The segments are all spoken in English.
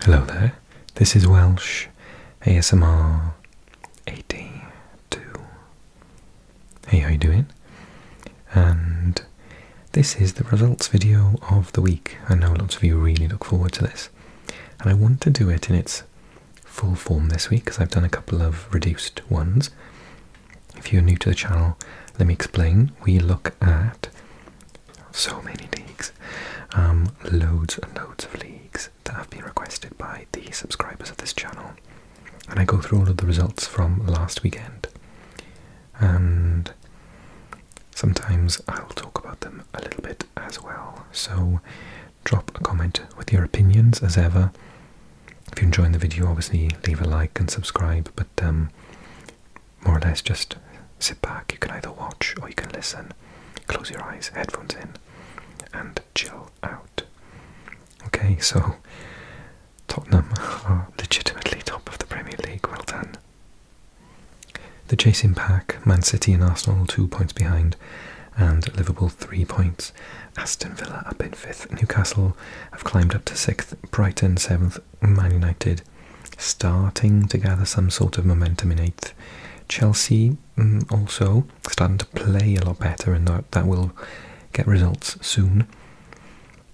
Hello there, this is Welsh ASMR 82. Hey, how you doing? And this is the results video of the week. I know lots of you really look forward to this. And I want to do it in its full form this week because I've done a couple of reduced ones. If you're new to the channel, let me explain. We look at so many leagues, um, loads and loads of leagues that have been requested by the subscribers of this channel, and I go through all of the results from last weekend, and sometimes I'll talk about them a little bit as well. So, drop a comment with your opinions as ever. If you're enjoying the video, obviously leave a like and subscribe, but um, more or less just sit back. You can either watch or you can listen. Close your eyes, headphones in, and chill out. Okay, so Tottenham are legitimately top of the Premier League. Well done. The chasing pack, Man City and Arsenal two points behind, and Liverpool three points. Aston Villa up in fifth. Newcastle have climbed up to sixth. Brighton seventh. Man United starting to gather some sort of momentum in eighth. Chelsea mm, also starting to play a lot better, and that, will get results soon.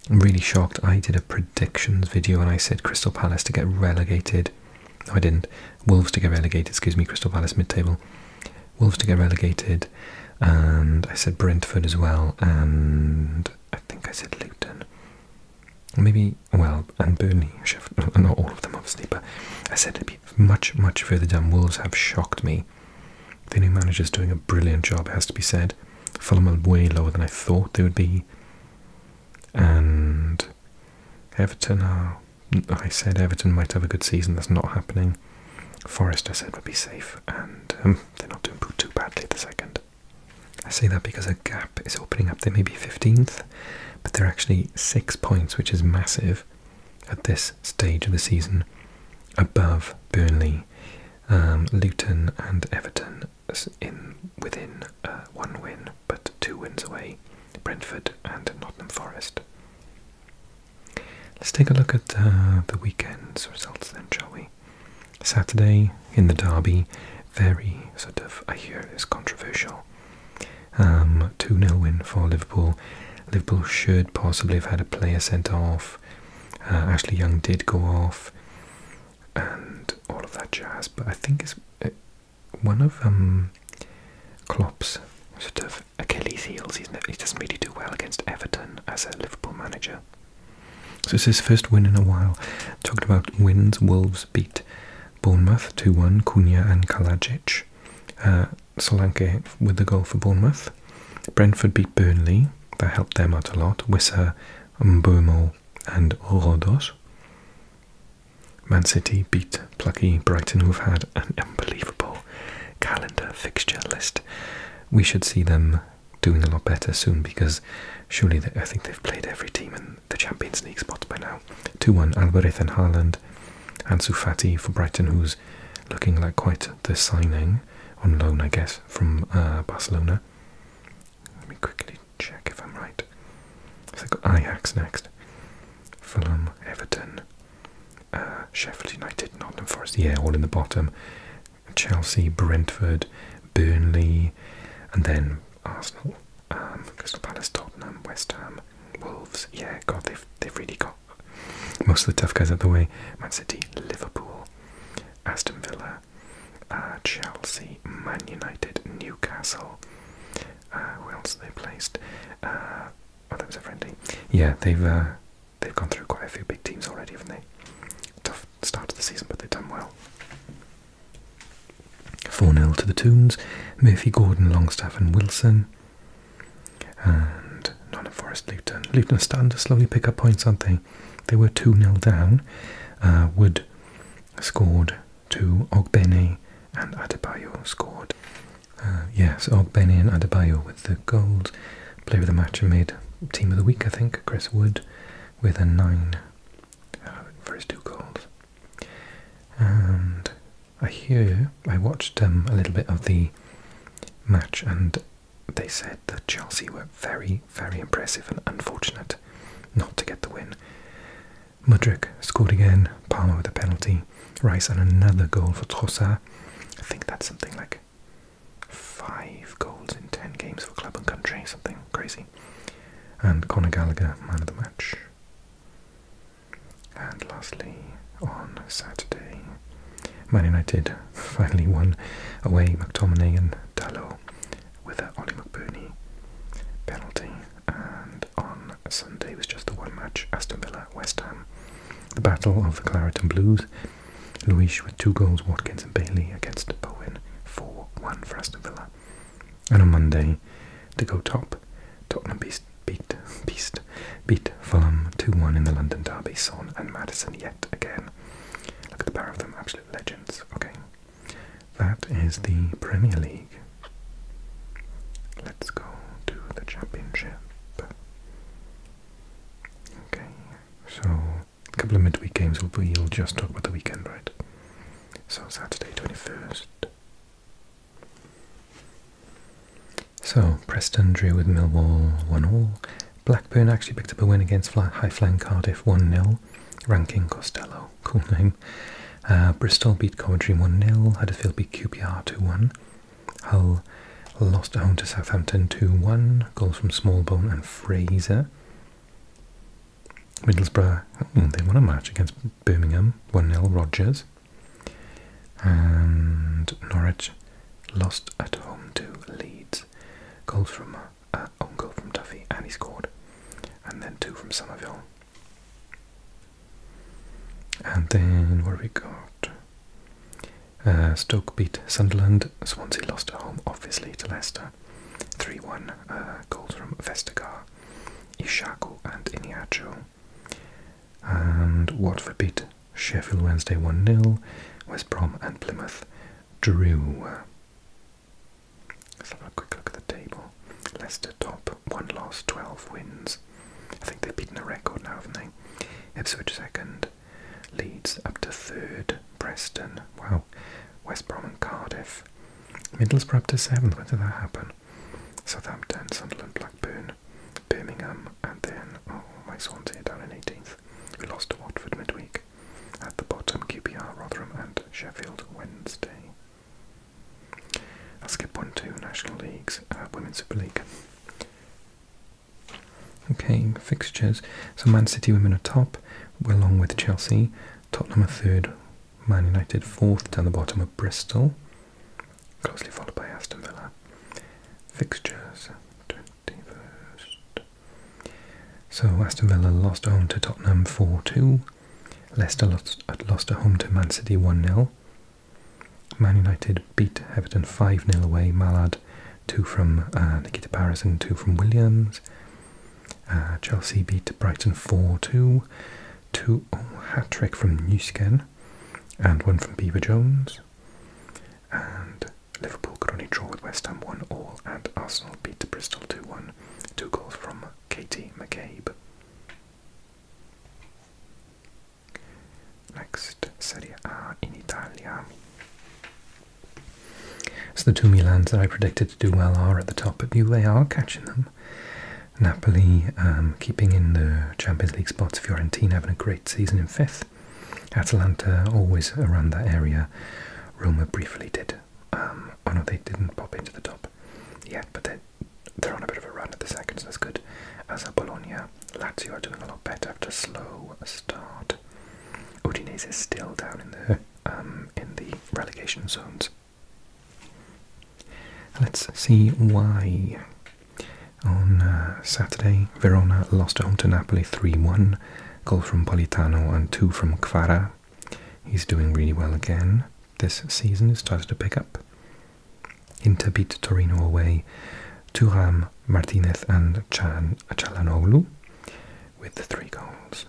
really shocked. I did a predictions video and I said Crystal Palace to get relegated. No, I didn't. Wolves to get relegated, excuse me, Crystal Palace mid table. Wolves to get relegated, and I said Brentford as well, and I think I said Luton maybe well, and Burnley, not all of them obviously, but I said it'd be much, much further down. Wolves have shocked me. The new manager's doing a brilliant job, it has to be said. Fulham are way lower than I thought they would be, and Everton I said Everton might have a good season. That's not happening. Forest, I said, would be safe, and um, they're not doing too badly at the second. I say that because a gap is opening up. They may be 15th, but they're actually six points, which is massive at this stage of the season, above Burnley, um, Luton, and Everton in within uh, one win, but two wins away Brentford and Nottingham Forest. Let's take a look at uh, the weekend's results then, shall we? Saturday in the derby, very sort of, I hear is controversial. 2-0 um, win for Liverpool. Liverpool should possibly have had a player sent off. Uh, Ashley Young did go off, and all of that jazz. But I think it's uh, one of um, Klopp's sort of Achilles' heels. He's, he doesn't really do well against Everton as a Liverpool manager. So this is his first win in a while. Talking about wins, Wolves beat Bournemouth 2 1, Cunha and Kalajic. Uh, Solanke with the goal for Bournemouth. Brentford beat Burnley, that helped them out a lot. Wissa, Mbomo, and Rodos. Man City beat plucky Brighton, who've had an unbelievable calendar fixture list. We should see them doing a lot better soon because surely I think they've played every team the Champions League spot by now. 2-1 Alvarez and Haaland. Ansu Fati for Brighton, who's looking like quite the signing on loan, I guess, from uh, Barcelona. Let me quickly check if I'm right. So I've got Ajax next. Fulham, Everton, uh, Sheffield United, Nottingham Forest. Yeah, all in the bottom. Chelsea, Brentford, Burnley, and then Arsenal. Um, Crystal Palace, Tottenham, West Ham, Wolves. Yeah, God, they've they've really got most of the tough guys out the way. Man City, Liverpool, Aston Villa, uh, Chelsea, Man United, Newcastle. Uh, who else they placed? Uh, oh, that was a friendly. Yeah, they've uh, they've gone through quite a few big teams already, haven't they? Tough start to the season, but they've done well. 4 0 to the Toons, Murphy, Gordon, Longstaff, and Wilson. And Nottingham Forrest, Luton. Luton are to slowly pick up points, On not they? They were 2 0 down. Uh, Wood scored to Ogbeni and Adebayo scored. Uh, yes, Ogbeni and Adebayo with the goals. Player of the match and made Team of the Week, I think, Chris Wood, with a 9 uh, for his two goals, And I hear, I watched um, a little bit of the match and they said that Chelsea were very, very impressive and unfortunate not to get the win. Mudrik scored again, Palmer with a penalty, Rice and another goal for Trossard. I think that's something like five goals in ten games for club and country, something crazy. And Conor Gallagher, man of the match. And lastly, on Saturday, Man United finally won away McTominay and Dallow with an Ollie McBurney penalty. And on Sunday was just the one match, Aston Villa, West Ham. The battle of the Claret and Blues. Luis with two goals, Watkins and Bailey against Bowen. 4-1 for Aston Villa. And on Monday, to go top, Tottenham beast, beat beast, beat Fulham 2-1 in the London derby. Son and Madison yet again. Look at the pair of them, absolute legends. Okay, that is the Premier League. Let's go to the Championship. Okay, so a couple of midweek games. we'll just talk about the weekend, right? So Saturday 21st. So Preston drew with Millwall 1 all. Blackburn actually picked up a win against High Flying Cardiff 1 0. Ranking Costello, cool name. Uh, Bristol beat Coventry 1 0. Huddersfield beat QPR 2 1. Hull lost at home to Southampton 2 1. Goals from Smallbone and Fraser. Middlesbrough, mm, they won a match against Birmingham, 1-0 Rogers. And Norwich lost at home to Leeds. Goals from, uh, goal from Duffy, and he scored. And then two from Somerville. And then, what have we got? Uh, Stoke beat Sunderland. Swansea lost at home, obviously, to Leicester. 3-1 uh, goals from Vestergaard, Ishaku and Iniacho. And Watford beat Sheffield Wednesday 1-0, West Brom and Plymouth drew. Let's have a quick look at the table. Leicester top, 1 loss, 12 wins. I think they've beaten a record now, haven't they? Ipswich second, Leeds up to third, Preston, well, West Brom and Cardiff Middlesbrough up to 7th, when did that happen? Southampton, Sunderland, Blackburn, Birmingham, and then, oh, my Swansea down in 18th. We lost to Watford midweek. At the bottom, QPR, Rotherham, and Sheffield Wednesday. I'll skip on to National Leagues, uh, Women's Super League. Okay, fixtures. So Man City women are top, along with Chelsea, Tottenham third, Man United fourth down the bottom of Bristol, closely followed by Aston Villa. Fixtures 21st. So Aston Villa lost home to Tottenham 4 2. Leicester lost, lost at home to Man City 1 0. Man United beat Everton 5 0 away. Mallard, two from uh, Nikita Paris and two from Williams. Uh, Chelsea beat Brighton 4 2. hat trick from Newsken and one from Beaver Jones. And Liverpool could only draw with West Ham 1 all, and Arsenal beat Bristol 2 1. Two goals from Katie McCabe. Next, Serie A in Italy. So the two Milans that I predicted to do well are at the top, but They are catching them. Napoli um, keeping in the Champions League spots, Fiorentina having a great season in fifth. Atalanta always around that area. Roma briefly did. Um, oh no, they didn't pop into the top yet, but they're, they're on a bit of a run at the second, so that's good. As are Bologna. Lazio are doing a lot better after a slow start. Udinese is still down in the, um, in the relegation zones. Let's see why. On uh, Saturday, Verona lost home to Napoli 3-1. Goal from Politano and two from Quara. He's doing really well again this season. He started to pick up. Inter beat Torino away. Turam, Martinez and Chan Chalanoglu with three goals.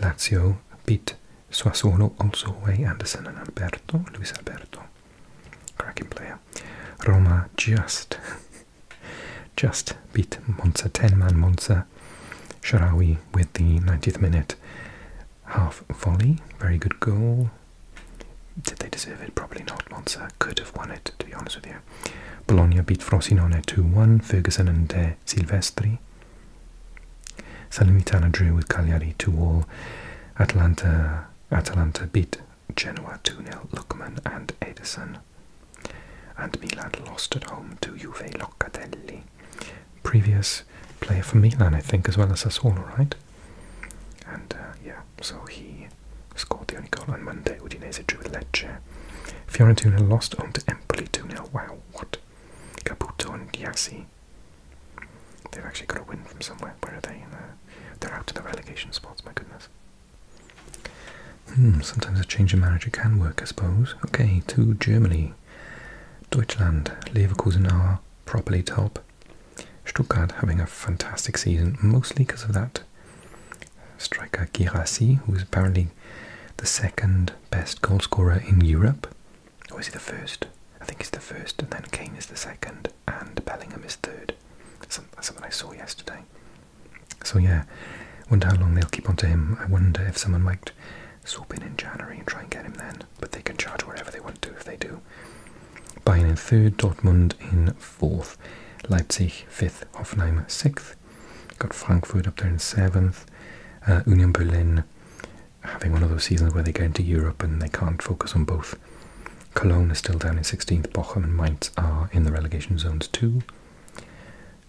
Lazio beat Sassuolo also away, Anderson and Alberto, Luis Alberto, cracking player. Roma just, just beat Monza, 10-man Monza. Sharawi with the 90th minute half volley, very good goal. Did they deserve it? Probably not. Monza could have won it, to be honest with you. Bologna beat Frosinone 2-1. Ferguson and uh, Silvestri. Salernitana drew with Cagliari 2-all. Atalanta, Atalanta beat Genoa 2 nil Lukman and Edison. And Milan lost at home to Juve Locatelli. Previous player for Milan, I think, as well as Sassuolo, all right. And uh, yeah, so he scored the only goal on Monday. Udinese drew with Lecce. Fiorentina lost home to Empoli 2 0. Wow, what Caputo and Giassi. They've actually got a win from somewhere. Where are they? Uh, they're out to the relegation spots, my goodness. Hmm, sometimes a change of manager can work, I suppose. Okay, to Germany. Deutschland, Leverkusen are properly top. Stuttgart having a fantastic season, mostly because of that striker Girassi, who is apparently the second best goalscorer in Europe. Or is he the first? I think he's the first, and then Kane is the second, and Bellingham is third. That's something I saw yesterday. So yeah, wonder how long they'll keep on to him. I wonder if someone might swoop in in January and try and get him then. But they can charge whatever they want to if they do. Bayern in third, Dortmund in fourth, Leipzig fifth, Hoffenheim sixth. Got Frankfurt up there in seventh, uh, Union Berlin having one of those seasons where they go into Europe and they can't focus on both. Cologne is still down in 16th, Bochum and Mainz are in the relegation zones too.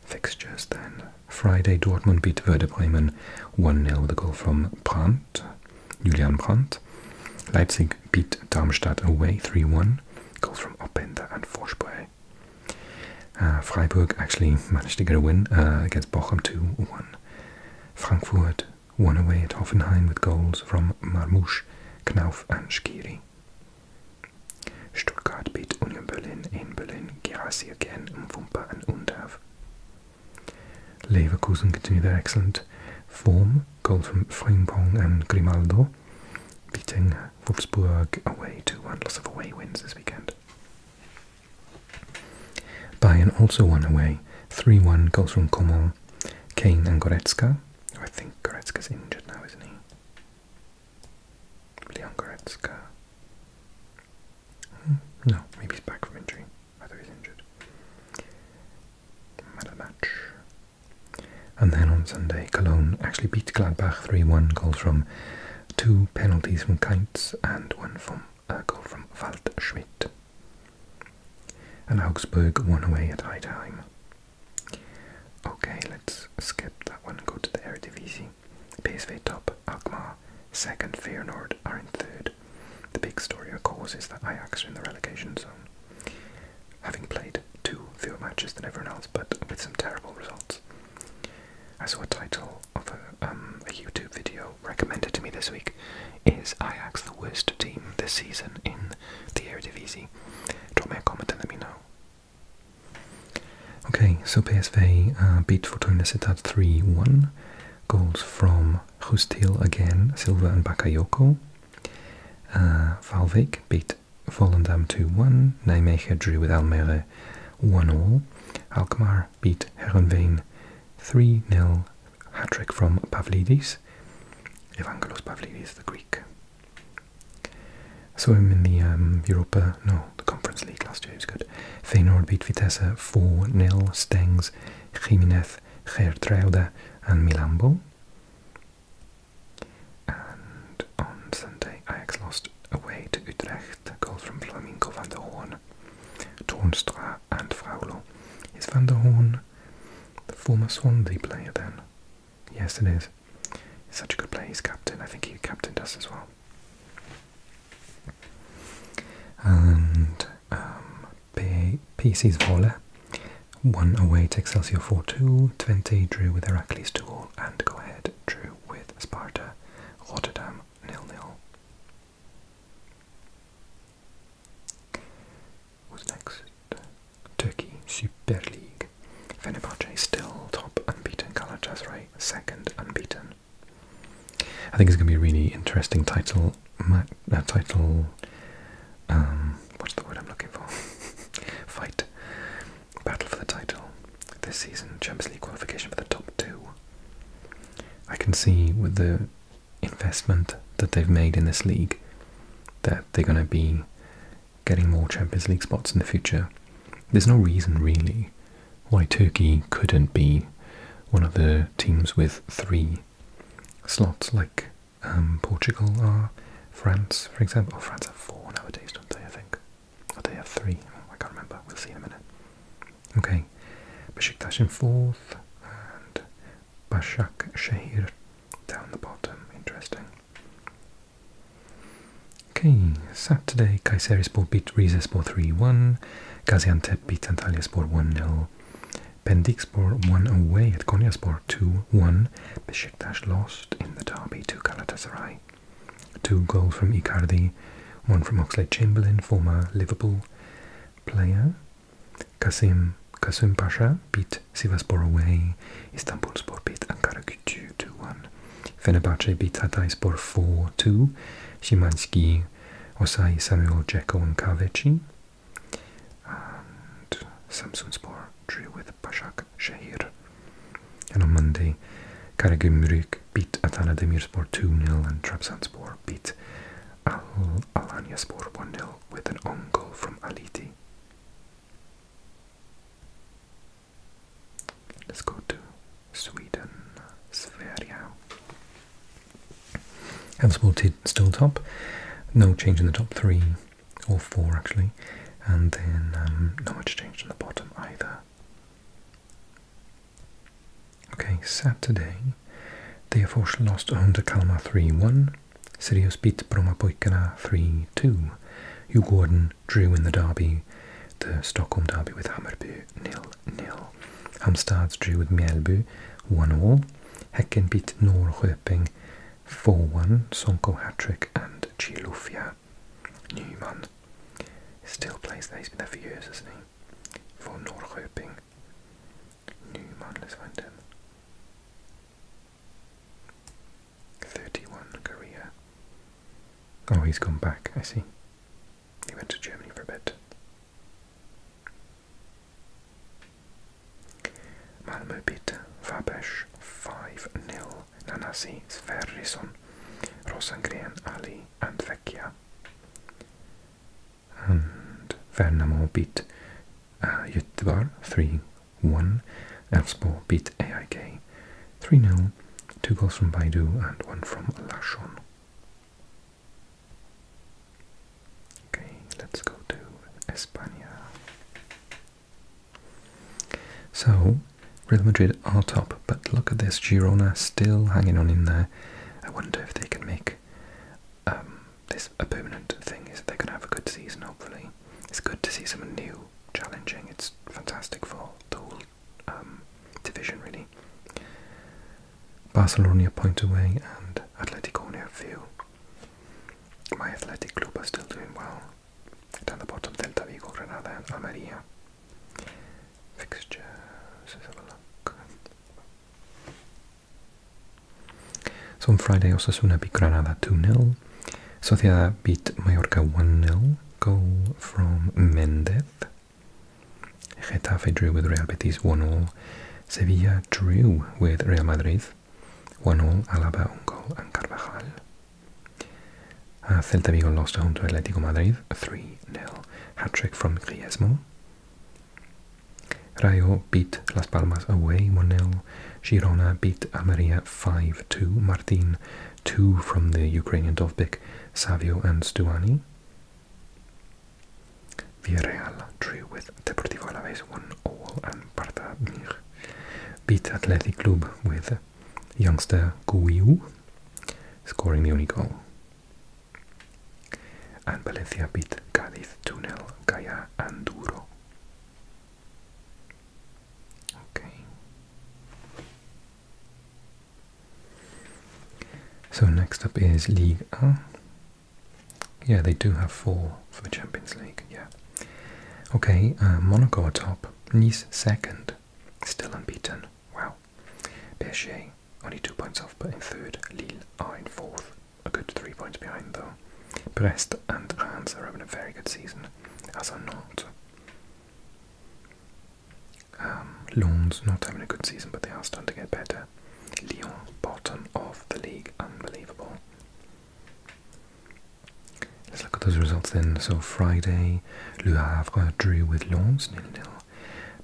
Fixtures then. Friday, Dortmund beat Werder Bremen 1-0 with a goal from Brandt, Julian Brandt. Leipzig beat Darmstadt away 3-1, goals from Openda and Forsberg. Uh, Freiburg actually managed to get a win uh, against Bochum 2-1. Frankfurt won away at Hoffenheim with goals from Marmouche, Knauf and Skiri. Stuttgart beat Union Berlin in Berlin, Gerasi again, Mvumpa and Undav. Leverkusen continue their excellent form, goals from Frimpong and Grimaldo, beating Wolfsburg away 2-1, lots of away wins this weekend. Bayern also won away 3-1 goals from Komol, Kane and Goretzka. Oh, I think Goretzka's injured now, isn't he? Leon Goretzka. Hmm, no, maybe he's back from injury. I thought he's injured. Man match. And then on Sunday, Cologne actually beat Gladbach 3-1 goals from two penalties from Kainz and one from a goal from Waldschmidt. And Augsburg won away at high Okay, let's skip that one, and go to the Eredivisie. PSV top, Alkmaar, second, Feyenoord are in third. The big story, of course, is that Ajax in the relegation zone, having played two fewer matches than everyone else, but with some terrible results. I saw a title of um, a, YouTube video recommended to me this week is Ajax the worst team this season in the Eredivisie? Drop me a comment and let me know. Okay, so PSV uh, beat Fortuna Sittard 3-1. Goals from Hustil again, Silva and Bakayoko. Uh, beat Volendam 2-1. Nijmegen drew with Almere 1-0. Alkmaar beat Herenveen 3-0 hat-trick from Pavlidis, Evangelos Pavlidis, the Greek. I saw him in the um, Europa, no, the Conference League last year, he was good. Feyenoord beat Vitesse 4-0, Stengs, Jimenez, Gertruida and Milambo. And on Sunday, Ajax lost away to Utrecht, Goal from Flamingo van der Hoorn, Tornstra and Fraulo. Is van der Hoorn the former Swansea player then? Yes, it is. such a good player, he's captain. I think he captained us as well. And um, PC's Volle one away to Excelsior 4 2, 20 drew with Heracles 2 all, and go ahead drew with Sparta Rotterdam nil nil. Who's next? Turkey Super League. Fenerbahce still top unbeaten, Galatasaray second unbeaten. I think it's going to be a really interesting title. Uh, title. Um, what's the word I'm looking for? Fight, battle for the title this season Champions League qualification for the top two. I can see with the investment that they've made in this league that they're going to be getting more Champions League spots in the future. There's no reason really why Turkey couldn't be one of the teams with three slots like um, Portugal or uh, France, for example. Oh, France have four nowadays, don't they? I think. Or oh, they have three. Oh, I can't remember. We'll see in a minute. Okay. Besiktas in fourth and Başak down the bottom. Interesting. Okay, Saturday, Kayserispor beat Rizespor 3-1, Gaziantep beat Antalyaspor 1-0, Pendikspor won away at Konyaspor 2-1, Besiktas lost in the derby to Galatasaray Two goals from Icardi, one from Oxlade-Chamberlain, former Liverpool player. Kasim, Kasim Pasha beat Sivaspor away. Istanbulspor beat Ankara Gücü 2-1. Fenerbahce beat Hatayspor 4-2. Szymanski, Osai, Samuel, Dzeko and Kaveci. And Samsunspor drew with Pashaq Başakşehir. And on Monday, Galatasaray. Karagümrük beat Adana Demirspor 2 nil, and Trabzonspor beat Alanya Alanyaspor one nil with an own goal from Aliti. Let's go to Sweden, Sverige. Elfsborg still top, no change in the top three, or four actually, and then um, not much change in the bottom either. Okay, Saturday. Degerfors lost under Kalmar 3-1. Sirius beat Brommapojkarna 3-2. Hugh Gordon drew in the derby, the Stockholm derby with Hammarby 0-0. Hamstads drew with Mjällby 1-0. Häcken beat Norrköping 4-1. Sonko hat-trick and Chilufya Newman still plays there. He's been there for years, hasn't he? For från Norrköping. Nymanlesvanden. 31 Korea. Oh, he's gone back, I see. He went to Germany for a bit. Malmö beat Fabesh 5 0. Nanasi, Sverrisson, Rosengren, Ali, and Vecchia and Värnamo beat uh, 3 3-1. Elfsborg beat AIK 3-0. Two goals from Baidu and one from Larsson. Okay, let's go to Espana. So, Real Madrid are top, but look at this. Girona still hanging on in there. I wonder if they can make um, this a permanent thing. Is they're going to have a good season, hopefully. It's good to see some new challenging. It's fantastic for the whole um, division, really. Barcelona point away and Atletico near view. My athletic club are still doing well. Down the bottom, Delta Granada and Fixtures, let's have a look. So on Friday, Granada 2-0. Sociedad beat Mallorca 1-0. Goal from Mendez. Getafe drew with Real Betis 1-0. Sevilla drew with Real Madrid 1-0. Alaba, on goal, and Carvajal. Uh, Celta Vigo lost home to Atletico Madrid 3 0. Hat trick from Griezmann. Rayo beat Las Palmas away 1 0. Girona beat Almeria 5 2. Martin 2 from the Ukrainian Dovbik, Savio and Stuani. Villarreal drew with Deportivo La Alaves 1 all and Barta beat Athletic Club with youngster Guiu scoring the only goal. And Valencia beat Cádiz 2-0, and Duro. So next up is League A. Yeah, they do have four for the Champions League, yeah. Okay, uh, Monaco top, Nice second, still unbeaten. Wow. PSG only two points off, but in third. Lille are in fourth, a good three points behind though. Brest and Reims are having a very good season, as are not. Um, Lons not having a good season, but they are starting to get better. Lyon, bottom of the league, unbelievable. Let's look at those results then. So Friday, Le Havre drew with Lons, nil nil.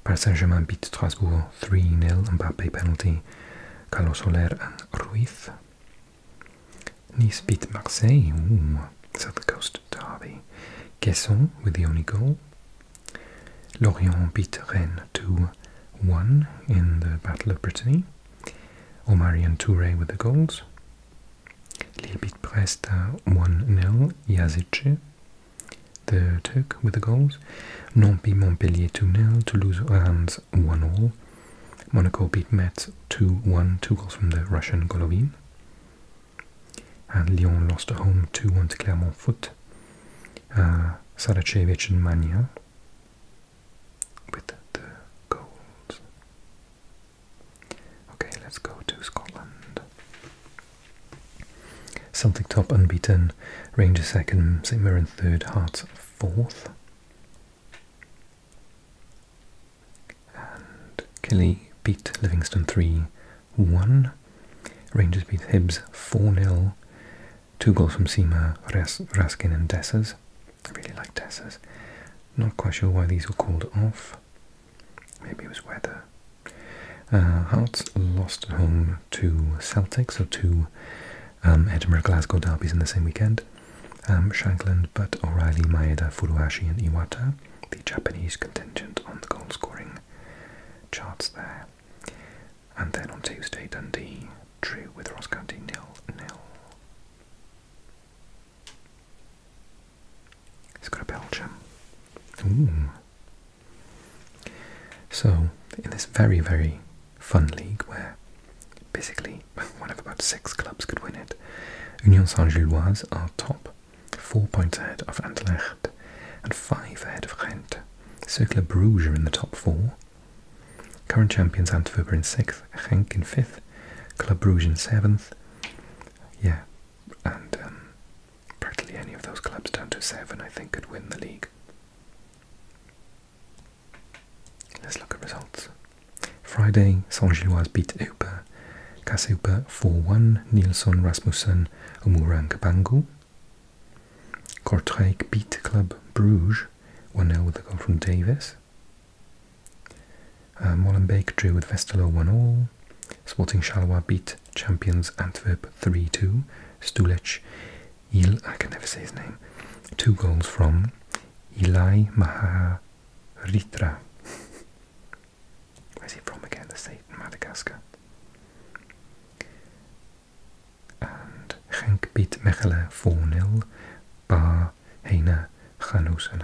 Paris Saint-Germain beat Strasbourg 3-0, Mbappe penalty, Carlos Soler and Ruiz. Nice beat Marseille, Ooh, South Coast derby. Guesson with the only goal. Lorient beat Rennes 2-1 in the Battle of Brittany. Omarion Touré with the goals. Lille beat Brest 1-0, uh, Yazici the Turk with the goals. Nancy Montpellier 2-0, Toulouse Reims 1-0. Monaco beat Metz 2-1, two goals from the Russian Golovin. And Lyon lost at home 2-1 to Clermont Foot. Uh, and Mania with the goals. Okay, let's go to Scotland. Celtic top unbeaten, Rangers second, St Mirren third, Hearts fourth. And Killy beat Livingston 3 1. Rangers beat Hibs 4 0. Two goals from Seema, Ras Raskin, and Dessers. I really like Dessers. Not quite sure why these were called off. Maybe it was weather. Hearts uh, lost home to Celtic, so two um, Edinburgh-Glasgow derbies in the same weekend. Um, Shankland, but O'Reilly, Maeda, Furuhashi and Iwata, the Japanese contingent on the goal-scoring charts there. And then on Tuesday, Dundee drew with Ross County nil-nil. Let's go Belgium. So, in this very, very fun league where basically one of about six clubs could win it, Union Saint-Gilloise are top, four points ahead of Antwerp, and five ahead of Ghent. Circular Bruges are in the top four. Current champions Antwerp are in sixth, Ghent in fifth, Club Bruges in seventh. Yeah, and um, Practically any of those clubs down to seven, I think, could win the league. Let's look at results. Friday, Saint-Gilloise beat Eupa, Caseupa 4-1, Nilsson Rasmussen, Omuran Kabangu. Kortrijk beat Club Bruges, 1-0 with a goal from Davis. Uh, Molenbeek drew with Vestelo 1-0. Sporting Charleroi beat champions Antwerp 3-2. Stulec, Il, I can never say his name, two goals from Eli Maharitra. Where's he from again? The state Madagascar. And Genk beat Mechelen 4-0. Bar, Heine, Hanus and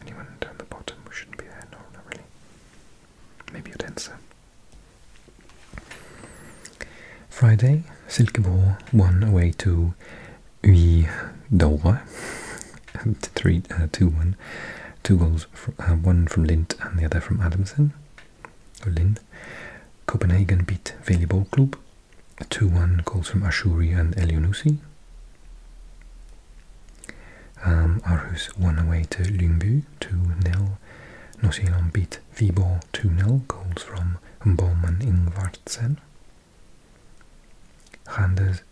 Anyone down the bottom who shouldn't be there? No, not really. Maybe Odense. Friday, Silkeborg one away to Uidola, three, uh, two one, two goals, from, uh, one from Lind and the other from Adamson. Or Lind. Copenhagen beat Veli Ball Club, two one goals from Ashuri and Elionusi. Um, Arhus won away to Lyngby 2-0. Nordsjælland beat Viborg 2 nil goals from Boman Ingvartsen. Randers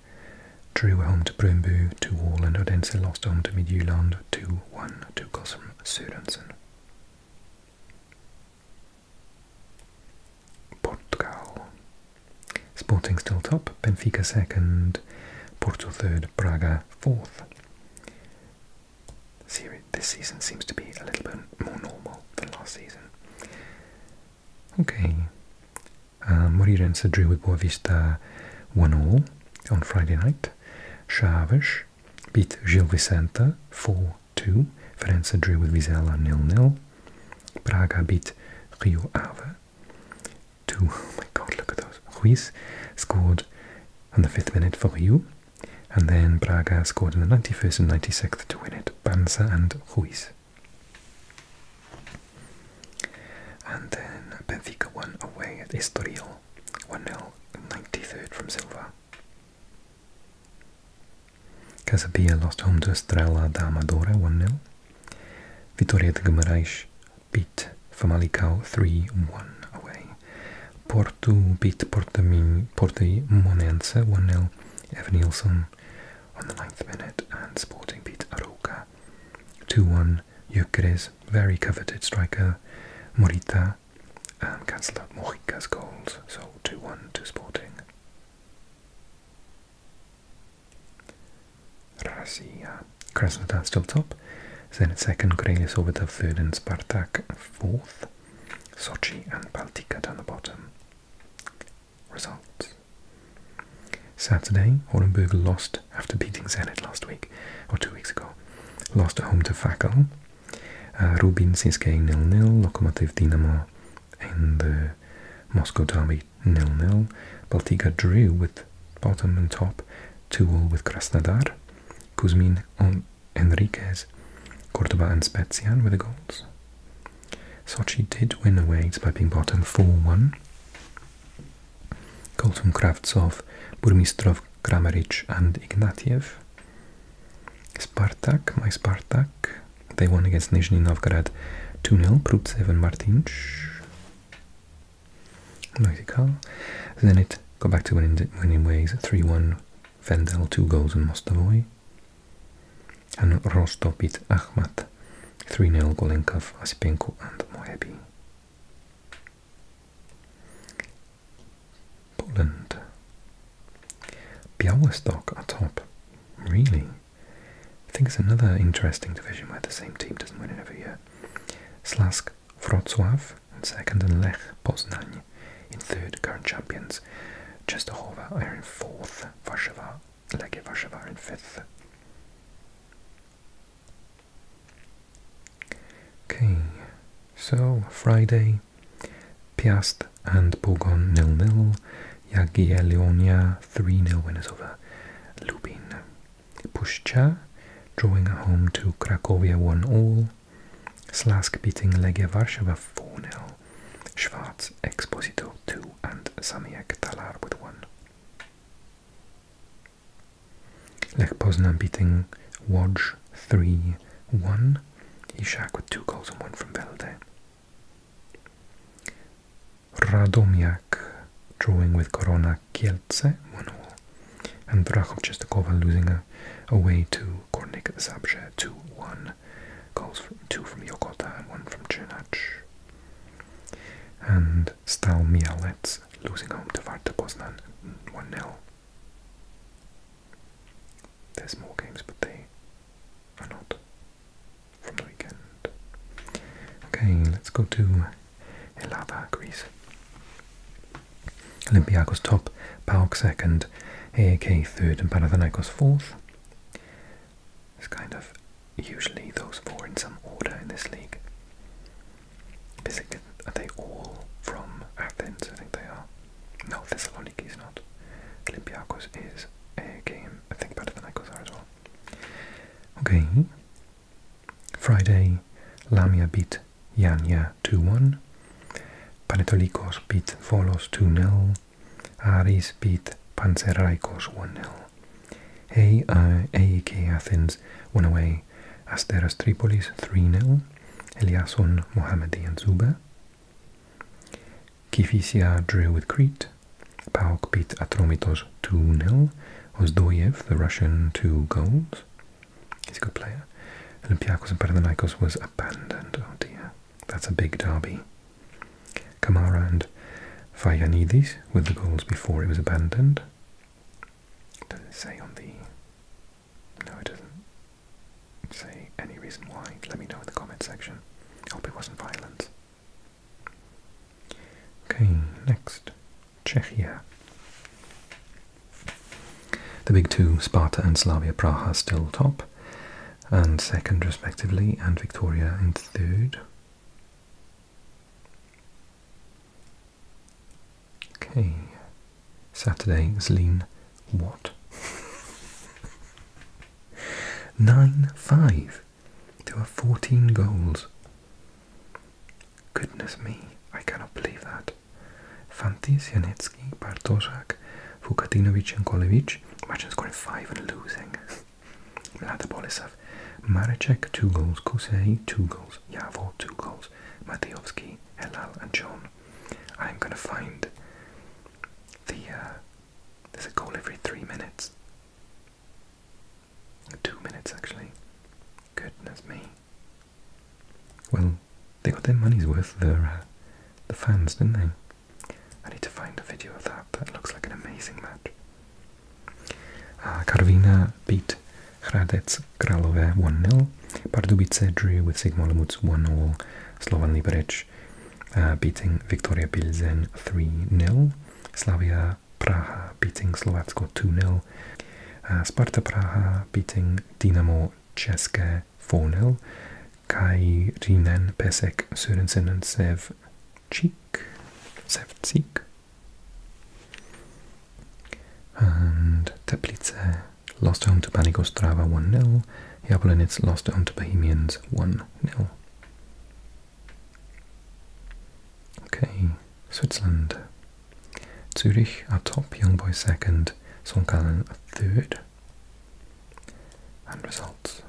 drew home to Brøndby 2-all and Odense lost home to Midtjylland 2-1 to Gosm Sørensen. Portugal. Sporting still top, Benfica second, Porto third, Braga fourth. This season seems to be a little bit more normal than last season. Okay. Uh, Moreirense drew with Boa Vista 1 all on Friday night. Chaves beat Gil Vicente 4 2. Ferenc drew with Vizela nil nil. Braga beat Rio Ave two. Oh my god, look at those. Ruiz scored on the fifth minute for Rio, and then Braga scored in the 91st and 96th to win it. Banza and Ruiz. And then Benfica won away at Estoril 1 0, 93rd from Silva. Casabia lost home to Estrela da Amadora 1 0. Vitória de Guimarães beat Famalicão 3-1 away. Porto beat Portamonense 1-0, Evanilson on the 9th minute, and Sporting beat Arouca 2-1. Euclides, very coveted striker, Morita, um, cancelled out Morica's goals, so 2-1 to Sporting. Razia. Krasnodar still top. Zenit second, over the third, and Spartak fourth. Sochi and Baltica down the bottom. Results. Saturday, Orenburg lost after beating Zenit last week, or two weeks ago. Lost at home to Fakel. Uh, Rubin Siske nil nil. Lokomotiv Dinamo in the Moscow derby nil-nil. Baltika drew with bottom and top, 2 all with Krasnodar. Kuzmin on Enriquez, Cordoba and Spezian with the goals. Sochi did win away despite being bottom 4-1. Goals from Kravtsov, Burmistrov, Kramaric and Ignatiev. Spartak, my Spartak, they won against Nizhny Novgorod 2-0, Prutsev and Martinc. Notikal. Then it go back to winning, ways 3-1, Vendel, 2 goals and Mostovoy. And Rostov beat Akhmat 3-0, Golenkov, Asipenko and Moebi. Poland. Białystok are top. Really? I think it's another interesting division where the same team doesn't win it every year. Slask Wrocław in second and Lech Poznań in third, current champions. Częstochowa are in fourth, Warszawa, Legia Warszawa in fifth. Okay, so Friday, Piast and Bourgogne nil nil, Jagier Leonia 3 0 winners over Lubin. Puszcza drawing at home to Krakowia 1 all. Slask beating Legia Warszawa 4 0. Schwarz, Exposito 2 and Samiak Talar with 1. Lech Poznan beating Wodge 3 1. Ishak with 2 goals and 1 from Velde. Radomiak drawing with Korona Kielce 1 all, and Vrachov Chestakova losing a, away to Kornik Zabrze 2 1. Goals from two from Yokota and one from Chernach. And Stal Mialets losing home to Varta 1 0. There's more games, but they are not from the weekend. Okay, let's go to Helada, Greece. Olympiacos top, PAOK second, AAK third, and Panathinaikos fourth. It's kind of usually those four in some order in this league. Basically, are they all from Athens? I think they are. No, Thessaloniki is not. Olympiacos is AAK, and I think Panathinaikos are as well. Okay. Friday, Lamia beat Janja 2-1. Panetolikos beat Volos 2-0. Aris beat Panzerikos 1-0. A, uh, AEK Athens won away Asteras Tripolis 3-0. Eliasson, Mohammedi and Zuba. Kifisia drew with Crete. Paok beat Atromitos 2-0. Ozdoyev, the Russian, two goals. He's a good player. Olympiacos and Panathinaikos was abandoned. Oh dear, that's a big derby. Kamara and Fayanidis with the goals before it was abandoned. Does it say on the... No, it doesn't say any reason why. Let me know in the comment section. hope it wasn't violent. Okay, next, Czechia. The big two, Sparta and Slavia Praha, still top, and second respectively, and Victoria in third. Okay, Saturday, Zlin, what? 9 5. There were 14 goals. Goodness me, I cannot believe that. Fantis, Janetsky, Bartoszak, Vukatinovic and Kolevich. Imagine scoring 5 and losing. Mlada Boleslav, Marecek, 2 goals. Kosei, 2 goals. Yavor, 2 goals. Matyovsky, Elal and John. I'm going to find the... Uh, there's a goal every 3 minutes. Two minutes actually. Goodness me. Well, they got their money's worth, their, uh, the fans, didn't they? I need to find a video of that. That looks like an amazing match. Uh, ah, Karvina beat Hradec Kralové nil. Pardubice drew with Sigma Lemutz one all. Slovan Liberec uh, beating Victoria Pilsen 3-0. Slavia Praha beating Slovatsko 2-0. Uh, Sparta Praha beating Dinamo České 4-0. Kairinen Pesek Sørensen and Sevcik. Sevcik. And Teplice lost home to Panigostrava 1-0. Jablonec lost home to Bohemians 1-0. Okay, Switzerland. Zurich are top, young Youngboy second, Songkalen third. And results.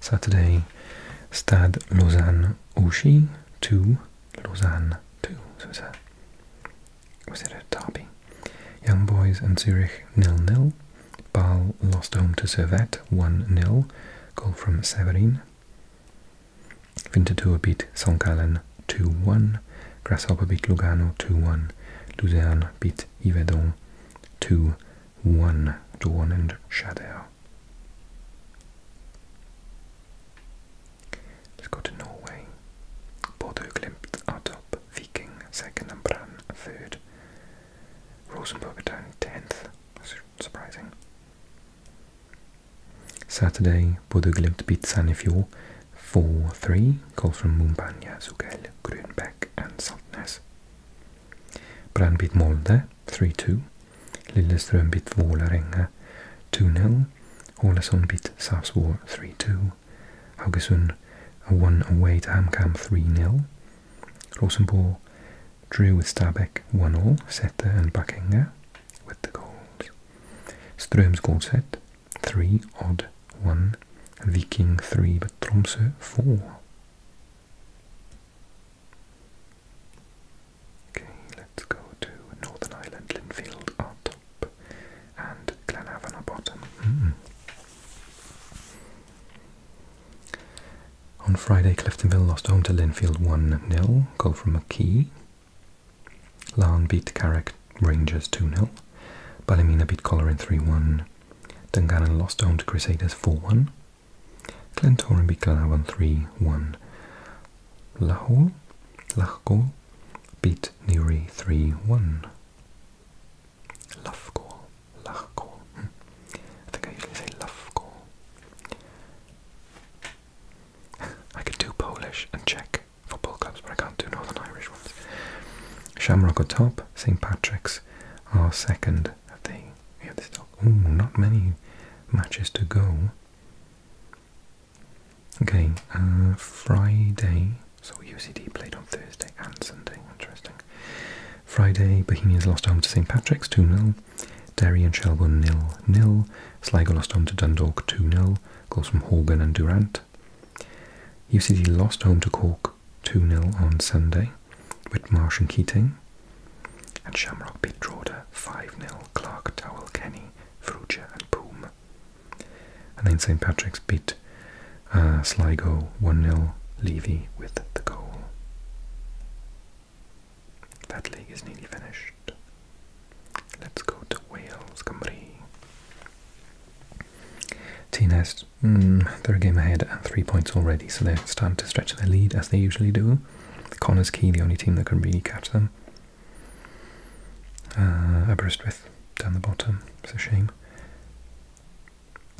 Saturday, Stade Lausanne Ouchy 2, Lausanne 2. So was that, was it a derby? Young Boys and Zurich nil nil. Bal lost home to Servette 1-0, goal from Severin. Winterthur beat St. Gallen 2-1, Grasshopper beat Lugano 2-1, Luzern beat Yverdon 2-1, and Shader. Let's go to Norway. Bordeaux Glimt are Viking second and Brann third. Rosenborg down 10th. Surprising. Saturday, Bodø Glimt beat Sandefjord 4-3. Calls from Mumbanya, Zugel, Grünbeck and Saltnes. Brann Molde 3-2. Lillestrøm beat Vålerenga 2-0. Ålesund beat Sarpsborg 3-2. Haugesund one away oh to Hamkam 3-0. Rosenborg drew with Stabæk 1-all, Seta and Buckinger with the goals. Ström's goal set 3, Odd 1, Viking 3, but Tromsø 4. Okay, let's go to Northern Ireland. Linfield are top and Glenavon are bottom. On Friday, Cliftonville lost home to Linfield 1-0, goal from McKee. Larne beat Carrick Rangers 2-0. Ballymena beat Coleraine 3-1. Dungannon lost home to Crusaders 4-1. Glentoran beat Glenavon 3-1. Lahore, Lachgol beat Newry 3-1. Lufgol Lahko. Hm. I think I usually say Lafko. I can do Polish and Czech football clubs, but I can't do Northern Irish ones. Shamrock at top, St. Patrick's are second at the yeah, this top. not many matches to go. Okay, uh, Friday. So UCD played on Thursday and Sunday. Interesting. Friday, Bohemians lost home to St Patrick's 2 0. Derry and Shelbourne were 0 0. Sligo lost home to Dundalk 2 0. Goals from Hogan and Durant. UCD lost home to Cork 2 0 on Sunday with Marsh and Keating. And Shamrock beat Droda 5 0. Clark, Dowell, Kenny, Fruchter, and Poom. And then St Patrick's beat uh, Sligo 1 0. Levy with the goal. That league is nearly finished. Let's go to Wales, Cymru. TNS, mm, they're a game ahead and three points already, so they're starting to stretch their lead as they usually do. Connors Key, the only team that can really catch them. Uh, Aberystwyth down the bottom, it's a shame.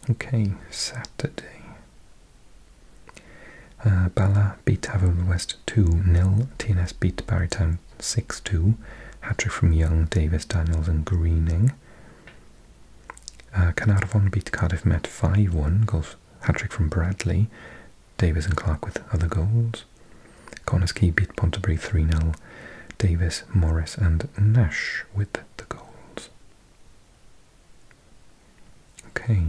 Okay, Saturday. Uh, Bala beat Haverhill West 2-0. TNS beat Barry Town 6-2. Hattrick from Young, Davis, Daniels and Greening. Uh, beat Cardiff Met 5-1. Goals Hattrick from Bradley. Davis and Clark with other goals. Corniskey beat Pontybury 3-0. Davis, Morris and Nash with the goals. Okay,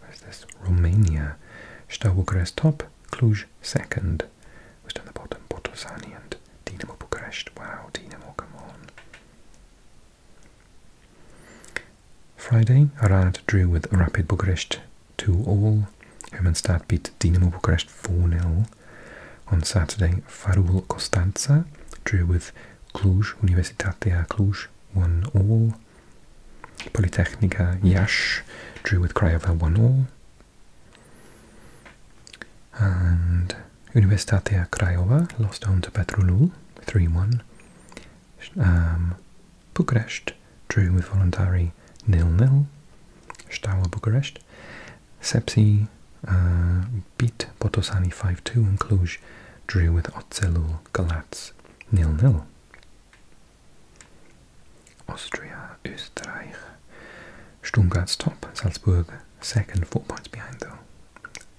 where's this? Romania. Steaua top, Cluj second. Who's down the bottom? Botorsani and Dinamo Bucharest. Wow, Dinamo, come on. Friday, Arad drew with Rapid Bucharest To all. Hermannstadt beat Dinamo Bucharest 4 0. On Saturday, Farul Costanza drew with Cluj, Universitatea Cluj won all. Politehnica Iași drew with Craiova one all. And Universitatea Craiova lost down to Petrolul 3-1. Um, Bucharest drew with Voluntari nil nil. Steaua Bucharest. Sepsi uh, beat Potosani 5-2 in Cluj drew with Otzelul Galatz nil nil. Austria, Österreich. Stuttgart's top, Salzburg second, four points behind though.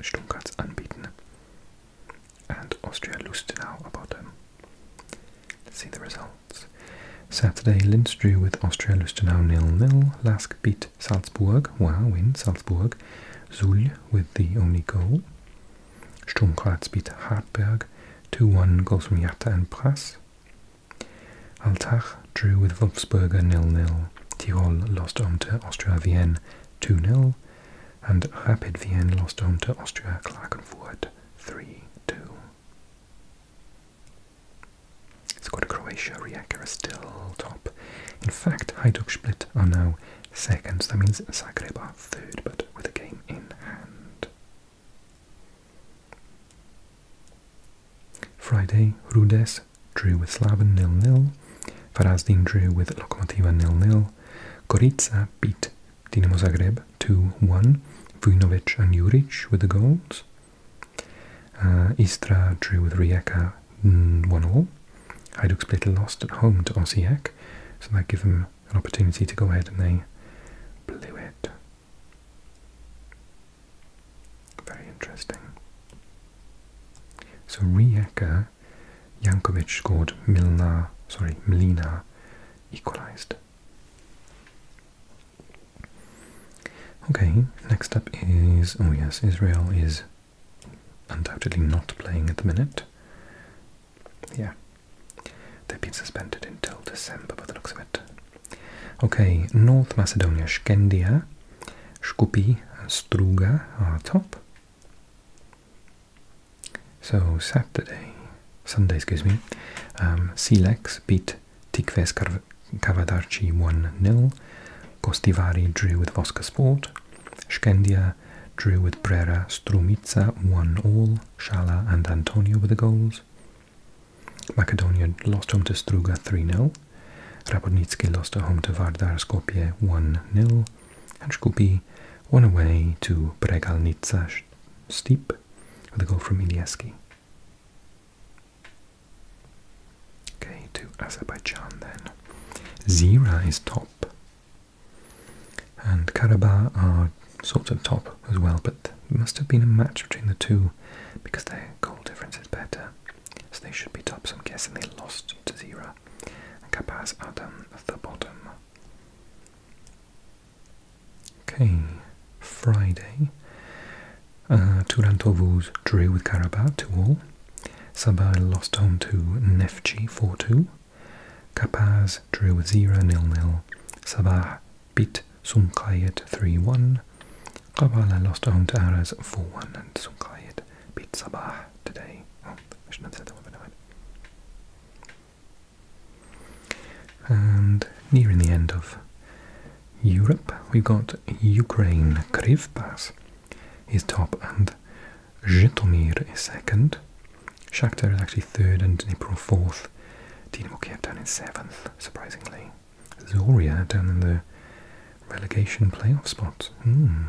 Stuttgart's unbeaten. And Austria loosed now about them. Let's see the results. Saturday, Linz drew with Austria Lustenau nil nil. Last beat beat Salzburg, Wow win Salzburg, Suhl with the only goal. Sturm Graz beat Hartberg 2-1 goals from Jatta and Pras. Altach drew with Wolfsburger nil nil. Tirol lost home to Austria Vienna 2 nil, And Rapid Vienna lost home to Austria Klagenfurt 3-2. two. It's got to Croatia. Rijeka still top. In fact, Hajduk Split are now second. that means Zagreb third, but with a game in hand. Friday, Rudes drew with Slaven nil-nil. Farazdin drew with Lokomotiva nil-nil. Gorica beat Dinamo Zagreb 2-1. Vujnovic and Juric with the goals. Uh, Istra drew with Rijeka one all. i Hajduk's played a lost at home to Osijek, so that give them an opportunity to go ahead and they blew it. Very interesting. So Rijeka, Yankovic scored, Milna, sorry, Milina equalised. Okay, next up is, oh yes, Israel is undoubtedly not playing at the minute. Yeah. They've been suspended until December by the looks of it. Okay, North Macedonia, Skendia, Skupi Struga are top. So Saturday, Sunday, excuse me, um, beat Tikves Kavadarci 1-0, Kostivari drew with Voska Sport, Shkendia drew with Brera, Strumica won all, Shala and Antonio were the goals. Macedonia lost home to Struga 3-0. Rapodnitsky lost at home to Vardar Skopje 1-0. And Shkupi won away to Bregalnica Steep with a goal from Ilieski. Okay, to Azerbaijan then. Zira is top and Karabakh are sort of top as well, but must have been a match between the two because their goal difference is better. So they should be top, I'm guessing they lost to Zira. And Kapaz are um, at the bottom. Okay, Friday. Uh, Turantovuz drew with Karabakh to all. Sabah lost home to Neftchi 4-2. Kapaz drew 0 nil nil, Sabah beat Sumqayat 3-1. Kawala lost home to Aras 4-1 and Sumqayat beat Sabah today. Oh, I should And nearing the end of Europe, we've got Ukraine Krivpas is top and Gintomir is second. Shakhtar is actually third and April fourth. Dinamo Kiev down in seventh, surprisingly. Zoria down in the relegation playoff spot. Hmm.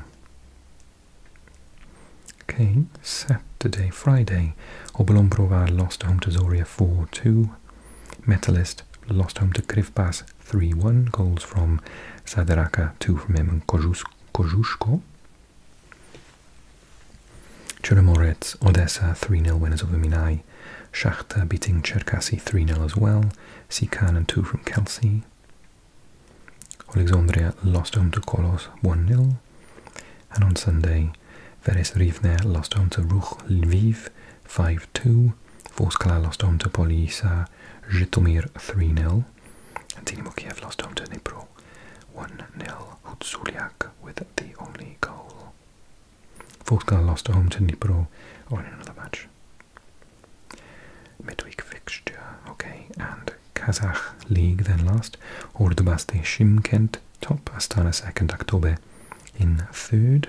Okay, Saturday, Friday. Obolombrova lost home to Zoria 4-2. Metalist lost home to Krivbas 3-1. Goals from Sadaraka, 2 from him, and Kozhus Kozuszko. Chernomorets, Odessa 3-0 winners of the Minai. Shakhtar beating Cherkasy 3-0 as well. Sikan and 2 from Kelsey. Alexandria lost home to Kolos 1-0. And on Sunday, Veres Rivne lost home to Ruch Lviv 5-2. Vorskla lost home to Polisa Zhytomyr 3-0 and Dynamo Kiev lost home to Dnipro one nil Hutsuliak with the only goal. Volskar lost home to Dnipro on another match. Midweek fixture, okay, and Kazakh league then last, Ordubasti Shimkent top, Astana second, October in third.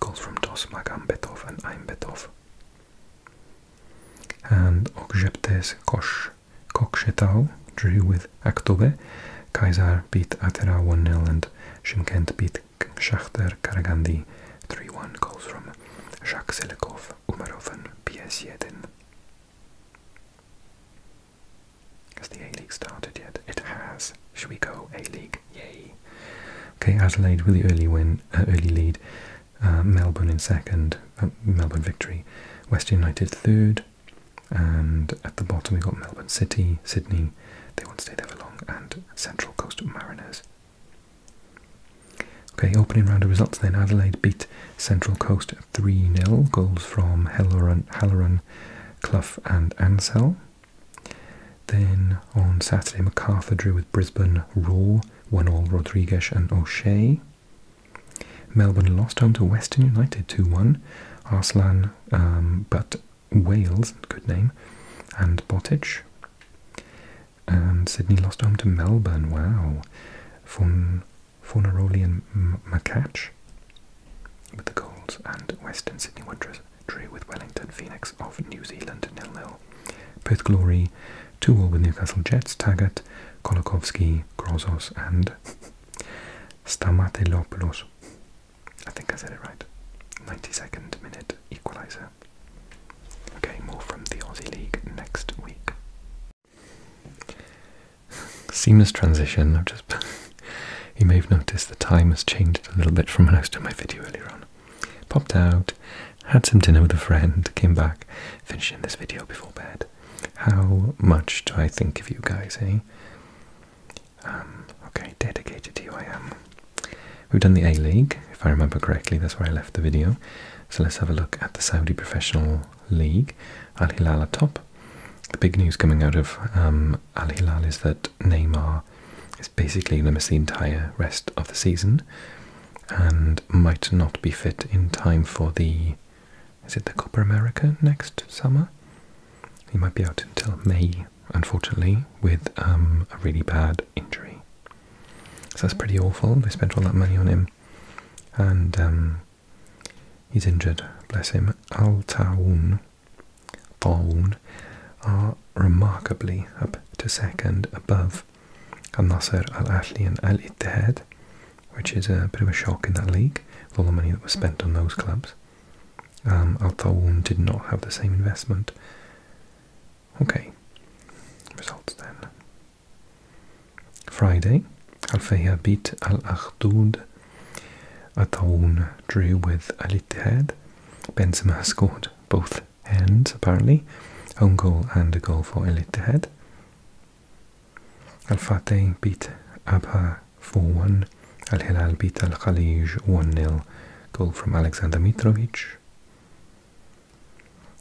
calls from DOS Magambetov and Aimbetov. And Okzheptes Kosh Kokshetau drew with Aktobe. Kaiser beat Atera 1 nil, and Shinkent beat Shakhtar Karagandi 3 1 Calls from Jacques Selekov, Umarov, and PS Yedin. Has the A League started yet? It has. Should we go A League? Yay! Okay, Adelaide really early win, uh, early lead. Uh, Melbourne in second, uh, Melbourne victory. West United third, and at the bottom we got Melbourne City, Sydney. They won't stay there for long, and Central Coast Mariners. Okay, opening round of results then. Adelaide beat Central Coast 3 0. Goals from Halloran, Halloran, Clough, and Ansell. Then on Saturday, MacArthur drew with Brisbane Raw, one all Rodriguez and O'Shea. Melbourne lost home to Western United 2 1. Arslan, um, but Wales, good name, and Bottage. And Sydney lost home to Melbourne, wow. Fon, Fonaroli and M Macatch with the goals, and Western Sydney Wanderers drew with Wellington Phoenix of New Zealand 0 0. Perth Glory 2 0 with Newcastle Jets, Taggart, Kolokovsky, Grozos, and Stamatopoulos. I think I said it right. 92nd minute equaliser. Okay, more from the Aussie League next week. Seamless transition. I've just. you may have noticed the time has changed a little bit from when I was doing my video earlier on. Popped out, had some dinner with a friend, came back, finishing this video before bed. How much do I think of you guys, eh? Um, okay, dedicated to you I am. We've done the A League, if I remember correctly, that's where I left the video. So let's have a look at the Saudi Professional League, Al Hilal at top. The big news coming out of um, from Al Hilal is that Neymar is basically going to miss the entire rest of the season and might not be fit in time for the. Is it the Copa America next summer? He might be out until May, unfortunately, with um, a really bad injury. So that's pretty awful. They spent all that money on him, and um, he's injured. Bless him. Al Taoun Falun are remarkably up to second above Al Nasser, Al Ahly, and Al Ittihad, which is a bit of a shock in that league all the money that was spent on those clubs. Um, Al Tawun did not have the same investment. Okay, results then. Friday, Al Fayha beat Al Akhdud. Al Tawun drew with Al Ittihad. Benzema scored both ends, apparently. Own goal and a goal for El Head. Al Fateh beat Abha 4-1. Al Hilal beat Al Khalij 1-0. Goal from Alexander Mitrovic.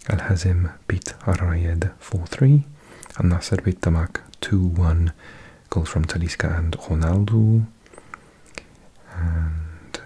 Al Hazim beat Al 4-3. Al Nasser beat Tamak 2-1. Goals from Taliska and Ronaldo.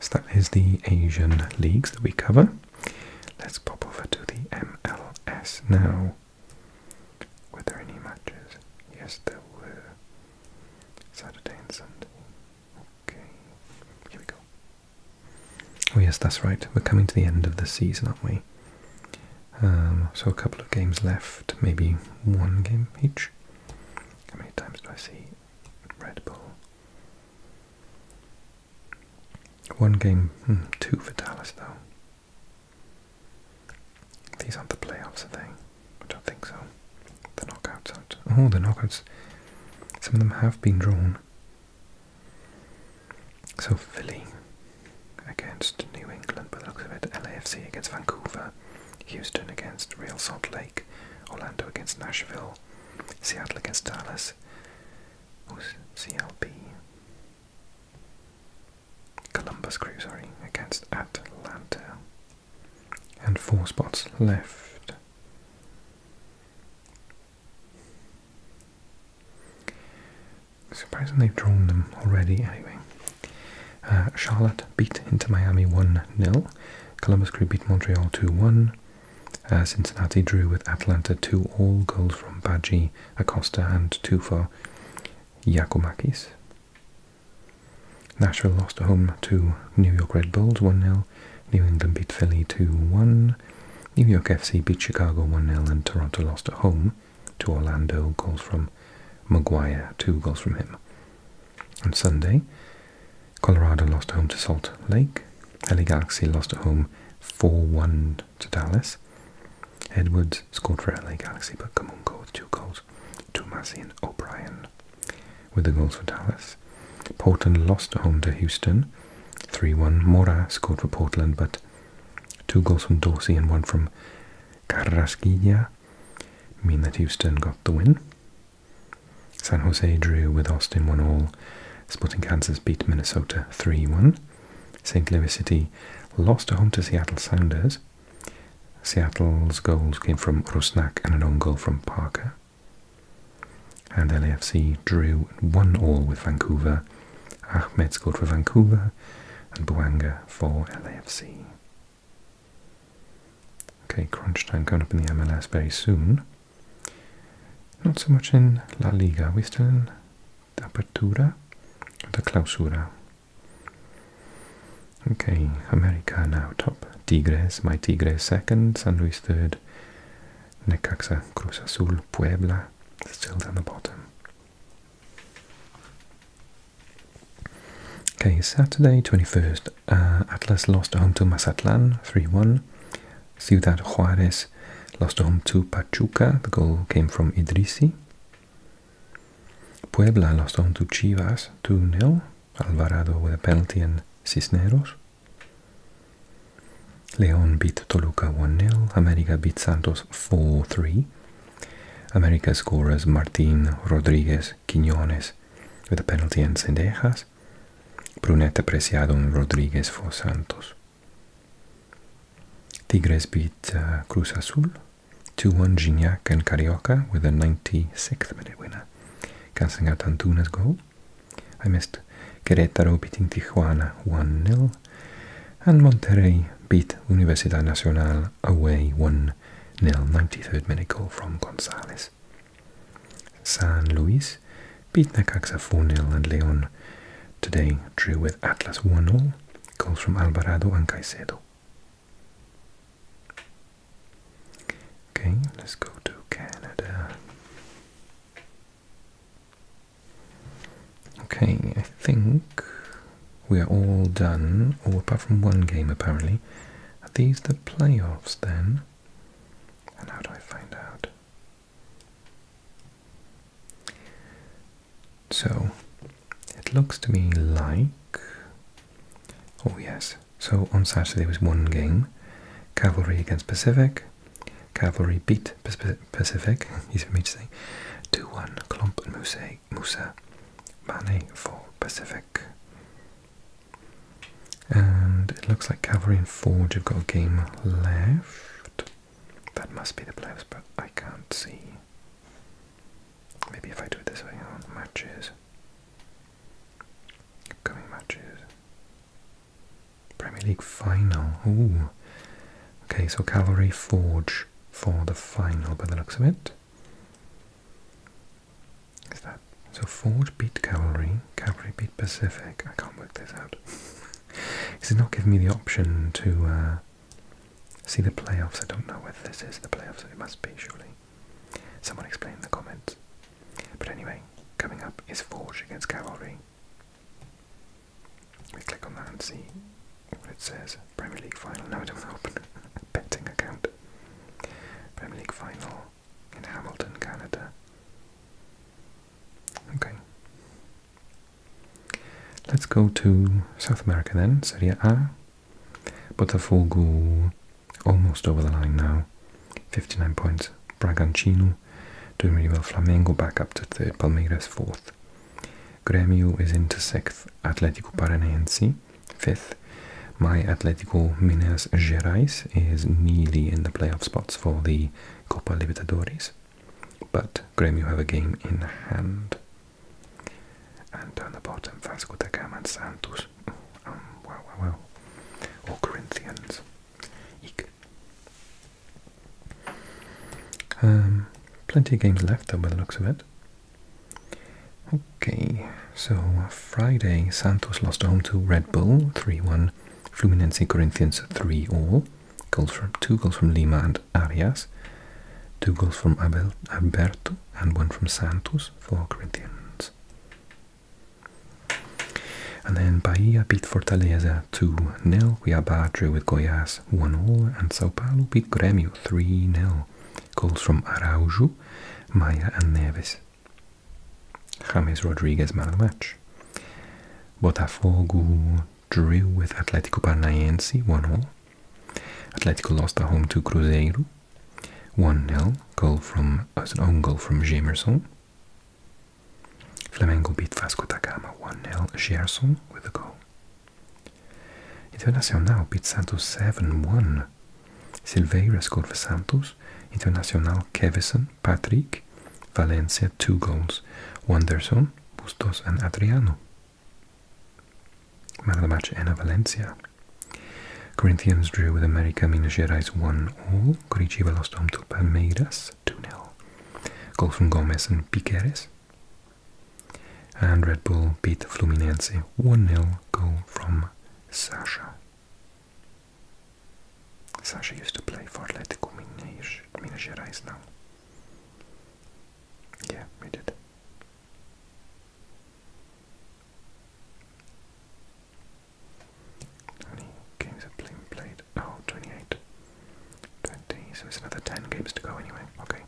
So that is the Asian leagues that we cover. Let's pop over to the MLS now. Were there any matches? Yes, there were. Saturday and Sunday. Okay, here we go. Oh yes, that's right. We're coming to the end of the season, aren't we? Um, so a couple of games left, maybe one game each. How many times do I see Red Bull? One game, hmm, two for Dallas though. These aren't the playoffs, are they? I don't think so. The knockouts Oh, the knockouts. Some of them have been drawn. So Philly against New England, but the looks of it, LAFC against Vancouver, Houston against Real Salt Lake, Orlando against Nashville, Seattle. against Dallas. Who's CLB? Columbus Crew, sorry, against Atlanta. And four spots left. Surprising they've drawn them already, anyway. Uh, Charlotte beat into Miami 1 0. Columbus Crew beat Montreal 2 1. Uh, Cincinnati drew with Atlanta two all goals from Badji, Acosta, and two for Yakomakis. Nashville lost at home to New York Red Bulls 1 0. New England beat Philly 2 1. New York FC beat Chicago 1 0, and Toronto lost at home to Orlando. Goals from Maguire, two goals from him. On Sunday, Colorado lost at home to Salt Lake. LA Galaxy lost at home 4-1 to Dallas. Edwards scored for LA Galaxy, but Kamungo with two goals. Tomasi and O'Brien with the goals for Dallas. Portland lost at home to Houston 3-1. Mora scored for Portland, but two goals from Dorsey and one from Carrasquilla mean that Houston got the win. San Jose drew with Austin 1 all. Sporting Kansas beat Minnesota 3 1. St. Louis City lost at home to Seattle Sounders. Seattle's goals came from Rusnak and an own goal from Parker. And LAFC drew 1 all with Vancouver. Ahmed scored for Vancouver and Buanga for LAFC. Okay, crunch time coming up in the MLS very soon. Not so much in La Liga. We're still in the Apertura, the Clausura. Okay, America now top. Tigres, my Tigres second. San Luis third. Necaxa, Cruz Azul, Puebla still down the bottom. Okay, Saturday 21st uh, Atlas lost home to Mazatlan 3-1. Ciudad Juarez lost home to Pachuca. The goal came from Idrisi. Puebla lost home to Chivas 2-0. Alvarado with a penalty and Cisneros. León beat Toluca 1-0. América beat Santos 4-3. América scorers Martín, Rodríguez, Quiñones with a penalty and Sendejas. Vargas, apreciado Preciado Rodriguez for Santos. Tigres beat uh, Cruz Azul 2-1 Gignac and Carioca with a 96th minute winner, cancelling out Antuna's goal. I missed Querétaro beating Tijuana 1-0 and Monterrey beat Universidad Nacional away 1-0, 93rd minute goal from Gonzalez. San Luis beat Necaxa 4-0 and Leon today drew with Atlas 1-0, goals from Alvarado and Caicedo. Okay, let's go to Canada. Okay, I think we are all done, all apart from one game apparently. Are these the playoffs then? And how do I find out? So, it looks to me like... Oh yes, so on Saturday was one game. Cavalry against Pacific. Cavalry beat Pacific, easy for me to say. 2-1, Klomp Musa, Musa. Mane for Pacific. And it looks like Cavalry and Forge have got a game left. That must be the playoffs, but I can't see. Maybe if I do it this way, oh, matches. Upcoming matches. Premier League final. Ooh. Okay, so Cavalry Forge for the final by the looks of it. Is that so? Ford beat cavalry, cavalry beat Pacific. I can't work this out. Is it not giving me the option to uh, see the playoffs? I don't know whether this is the playoffs. It must be surely. Someone explain the comments. But anyway, coming up is Forge against Cavalry. We click on that and see what it says. Premier League final. No, I do not open. Betting account. Premier League final in Hamilton, Canada. Okay. Let's go to South America then, Serie A. Botafogo almost over the line now, 59 points. Bragantino doing really well. Flamengo back up to third, Palmeiras fourth. Grêmio is into sixth, Atlético Paranaense fifth, my Atlético Minas Gerais is nearly in the playoff spots for the Copa Libertadores, but Grêmio have a game in hand. And down the bottom, Vasco da Gama and Santos. Well, well, well. Or Corinthians. Um, plenty of games left, though, by the looks of it. Okay, so Friday, Santos lost home to Red Bull 3 1 Fluminense Corinthians 3 all. Goals from two goals from Lima and Arias, two goals from Abel, Alberto, and one from Santos for Corinthians. And then Bahia beat Fortaleza 2-0. We have Badre with Goiás 1-0. And Sao Paulo beat Grêmio 3-0. Goals from Araujo, Maya and Neves. James Rodriguez man the match. Botafogo drew with Atlético Paranaense 1-0. Atlético lost at home to Cruzeiro 1-0. Goal from uh, an own goal from Jamerson. Flamengo beat Vasco da Gama 1-0. Gerson with the goal. Internacional beat Santos 7-1. Silveira scored for Santos. Internacional Kevison Patrick, Valencia, two goals, Wanderson, Bustos, and Adriano. Man of the match, Ana Valencia. Corinthians drew with America Minas Gerais 1-0. Curitiba lost home Palmeiras 2-0. Goal from Gomes and Piqueres. And Red Bull beat Fluminense 1-0. Goal from Sasha. Sasha used to play for Atletico Minas Gerais now. Yeah, we did. How games have Blim played? Oh, so it's another 10 games to go anyway. Okay.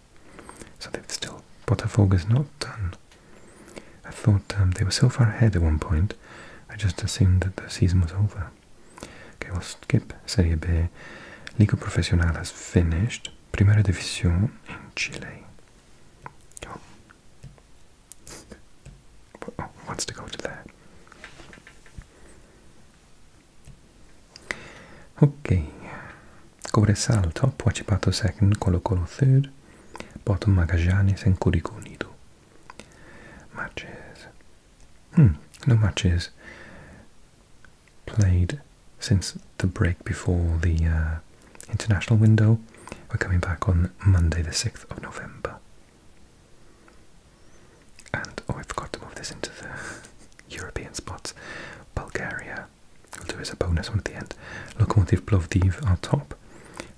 So they've still. is not done. I thought um, they were so far ahead at one point, I just assumed that the season was over. Okay, we'll skip Serie B. Liga Profesional has finished. Primera División in Chile. Oh. Wants to go to there. Okay. Cobresal top, Huachipato second, Colo Colo third, bottom Magallanes and Curicó matches. no hmm, matches played since the break before the uh, international window. We're coming back on Monday, the 6th of November. And, oh, I forgot to move this into the European spots. Bulgaria, we'll do as a bonus one at the end. Lokomotiv Plovdiv are top.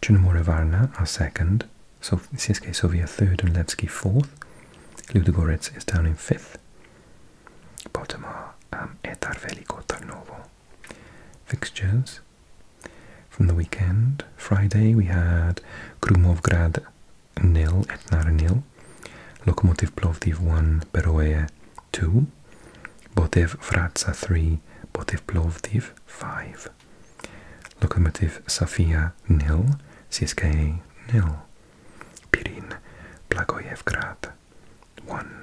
Chernamore Varna are second so CSK Sofia third and Levski fourth. Ludogorets is down in fifth. Bottom are um, Etar Veliko Tarnovo. Fixtures from the weekend. Friday we had Krumovgrad nil, Etnar nil. Lokomotiv Plovdiv 1, Beroe 2. Botev Vratsa 3, Botev Plovdiv 5. Lokomotiv Sofia nil, CSK nil. Pirin Blagojevgrad 1,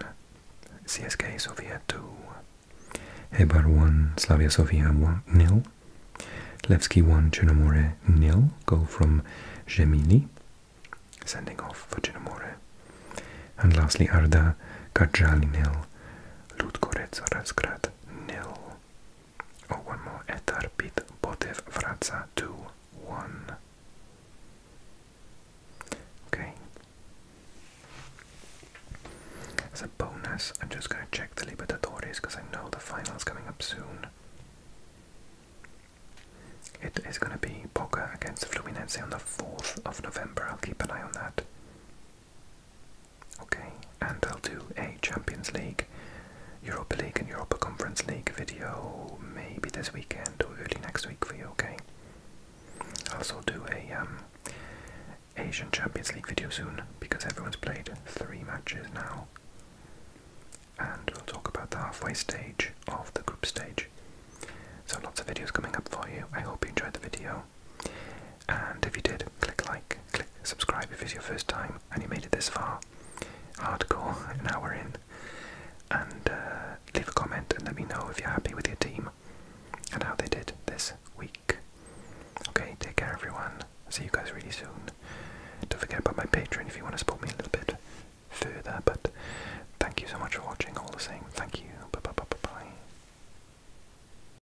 CSK Sofia 2. Hebar 1, Slavia Sofia 1 nil. Levski 1, Chernomore nil. Goal from Gemini. Sending off for Chernomore. And lastly, Arda Kadjali nil. Ludgoretz Razgrad nil. O urmă Etarpit Botev Vrața 2-1. Okay. As a bonus, I'm just going to check the Libertadores because I know the final's coming up soon. It is going to be Boca against Fluminense on the 4th of November. I'll keep an eye on that. Okay, and I'll do a Champions League, Europa League, and Europa Conference League video maybe this weekend or early next week for you, okay? I'll also do a um, Asian Champions League video soon because everyone's played three matches now. And we'll talk about the halfway stage of the group stage. So, lots of videos coming up for you. I hope you enjoyed the video. And if you did, click like, click subscribe if it's your first time and you made it this far. Hardcore, now we're in. And uh, leave a comment and let me know if you're happy with your team and how they did this week. Okay, take care everyone. See you guys really soon. Don't forget about my Patreon if you want to support me a little bit further, but thank you so much for watching all the same. Thank you. Bye bye bye bye bye.